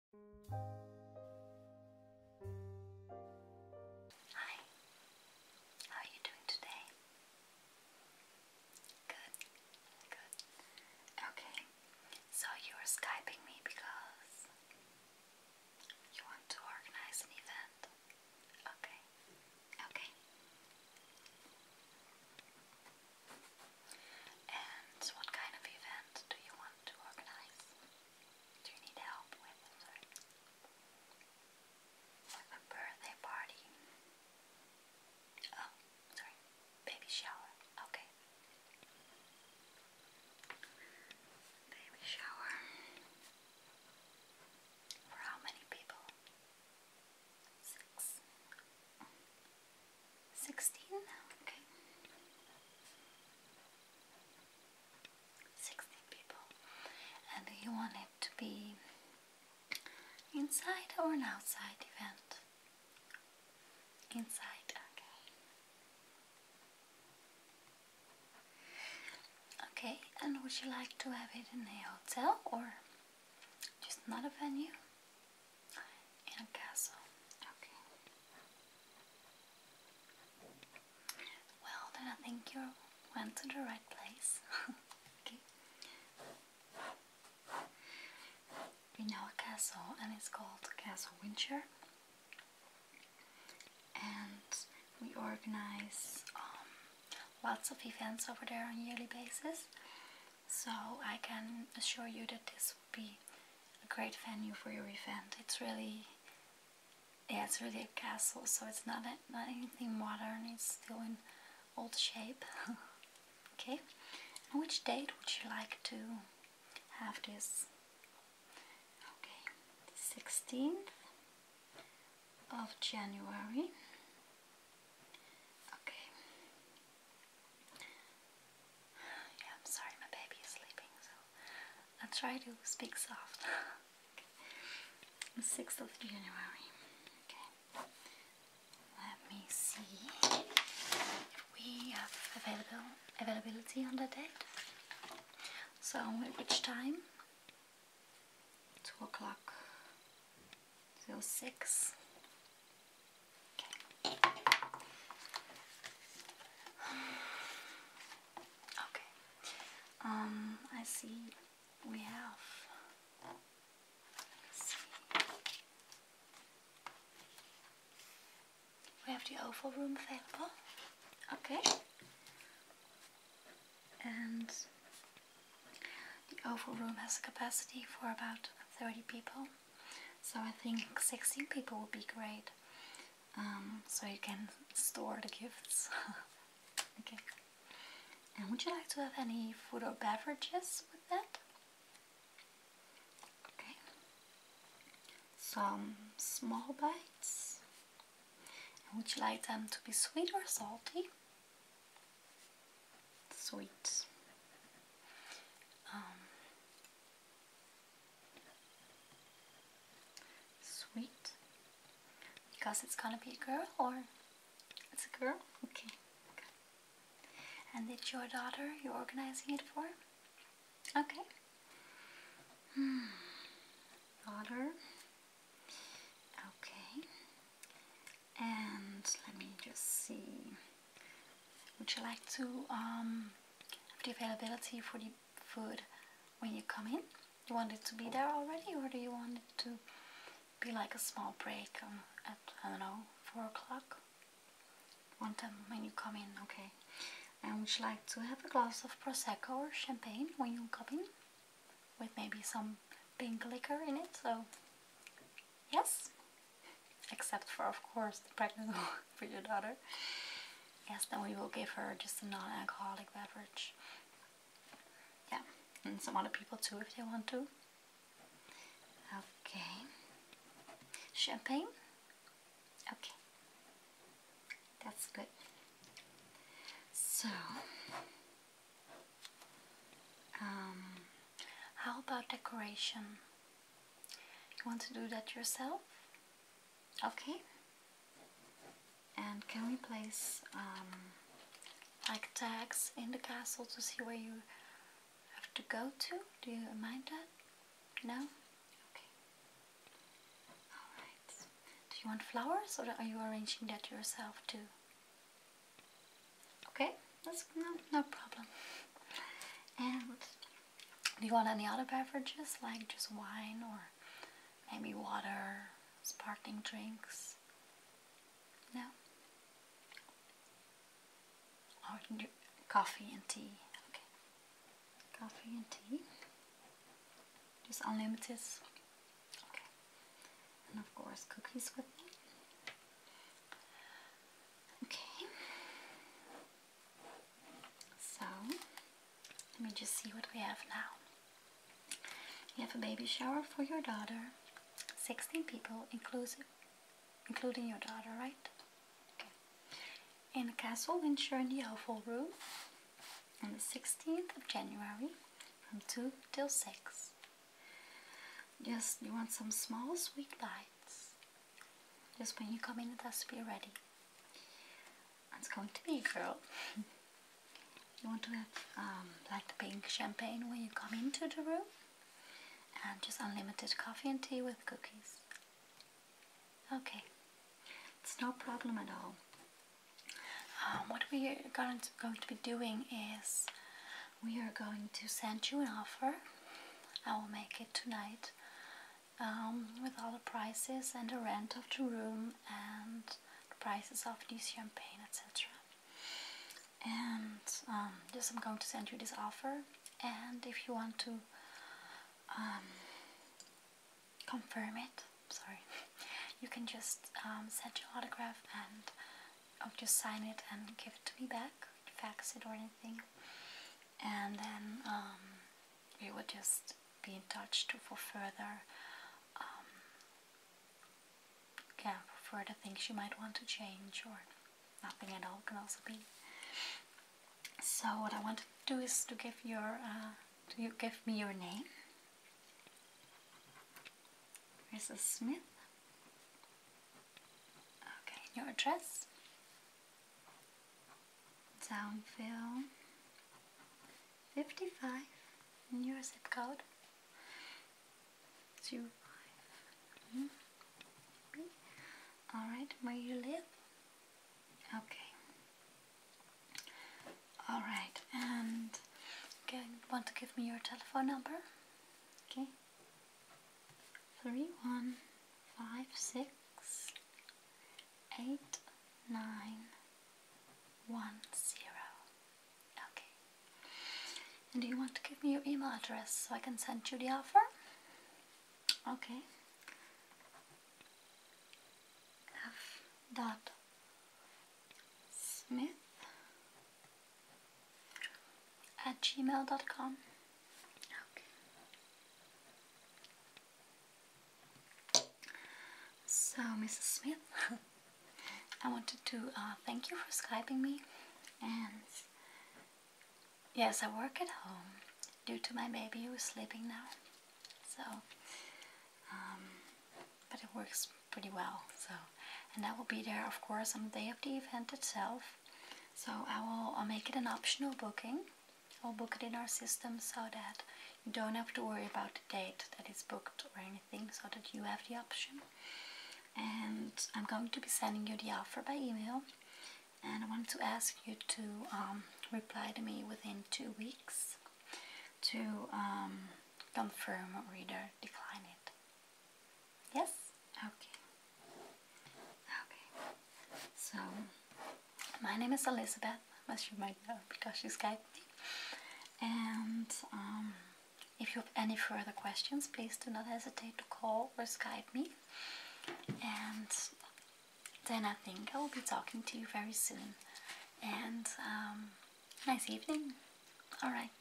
Hi, how are you doing today? Good, good. Okay, so you are Skyping me because you want to organize an event. Okay, okay. And what kind of event do you want to organize? Do you need help with sorry? Uh, a birthday party? Oh, sorry. Baby shower. Okay. Baby shower. For how many people? Six. Sixteen? Okay. Sixteen people. And you want it to be inside or an outside event? Inside, okay. Okay, and would you like to have it in a hotel or just another venue? And a castle. Okay. Well, then I think you went to the right place. okay. We know a castle, and it's called Castle Windsor. And we organize um, lots of events over there on a yearly basis. So I can assure you that this be a great venue for your event. It's really, yeah, it's really a castle, so it's not, not anything modern, it's still in old shape. okay, which date would you like to have this? Okay, 16th of January. Okay, Yeah, I'm sorry, my baby is sleeping, so I'll try to speak soft. the 6th of January. Okay. Let me see if we have available availability on the date. So which time? Two o'clock till six. Okay. Um, I see we have. Let's see. We have the oval room available. Okay. And the oval room has a capacity for about 30 people so I think 16 people would be great um, so you can store the gifts okay and would you like to have any food or beverages with that? okay some small bites would you like them to be sweet or salty? sweet um, Sweet. Because it's gonna be a girl or it's a girl? Okay. And it's your daughter you're organizing it for? Okay. Hmm. Daughter. Okay. And let me just see. Would you like to um, have the availability for the food when you come in? You want it to be there already, or do you want it to be like a small break um, at, I don't know, 4 o'clock? One time when you come in, okay. And would you like to have a glass of Prosecco or champagne when you come in? With maybe some pink liquor in it, so yes? except for, of course, the pregnant for your daughter. Yes, then we will give her just a non-alcoholic beverage. Yeah, and some other people too if they want to. Okay. Champagne? Okay. That's good. So, um, how about decoration? You want to do that yourself? Okay. And can we place um, like tags in the castle to see where you have to go to? Do you mind that? No? Okay. Alright. Do you want flowers or are you arranging that yourself too? Okay, that's no, no problem. And do you want any other beverages like just wine or maybe water, sparkling drinks? No? coffee and tea? Okay. Coffee and tea. Just unlimited. Okay. And of course, cookies with me. Okay. So, let me just see what we have now. You have a baby shower for your daughter. 16 people, inclusive, including your daughter, right? Okay. In the Castle Windsor in the Oval Room on the 16th of January from 2 till 6. Yes, you want some small sweet bites. Just when you come in, the has to be ready. It's going to be, a girl. you want to um, like the pink champagne when you come into the room, and just unlimited coffee and tea with cookies. Okay, it's no problem at all. Um, what we are going going to be doing is we are going to send you an offer. I will make it tonight um, with all the prices and the rent of the room and the prices of this champagne, etc. And um, just I'm going to send you this offer. And if you want to um, confirm it, sorry, you can just um, send your autograph and oh, just sign it and give it to me back fax it or anything. And then um, we would just be in touch for further, um, yeah, for further things you might want to change or nothing at all can also be. So what I want to do is to give your, do uh, you give me your name? Mrs. Smith. Okay, your address. Downville 55 and your zip code 05 mm-hmm. Alright, where you live? Okay. Alright, and okay, want to give me your telephone number? Okay three one five six eight nine one zero. Okay. And do you want to give me your email address so I can send you the offer? Okay. F dot Smith at gmail.com. Okay. So, Mrs. Smith, I wanted to uh, thank you for Skyping me. And yes, I work at home due to my baby who is sleeping now. So, um, but it works pretty well. So, and that will be there, of course, on the day of the event itself. So I will make it an optional booking. I'll book it in our system so that you don't have to worry about the date that is booked or anything, so that you have the option. And I'm going to be sending you the offer by email. And I want to ask you to um, reply to me within two weeks to um, confirm or either decline it. Yes? Okay. Okay. So, my name is Elizabeth, as you might know because you Skyped me. And um, if you have any further questions, please do not hesitate to call or Skype me. And then I think I will be talking to you very soon. And um, nice evening. Alright.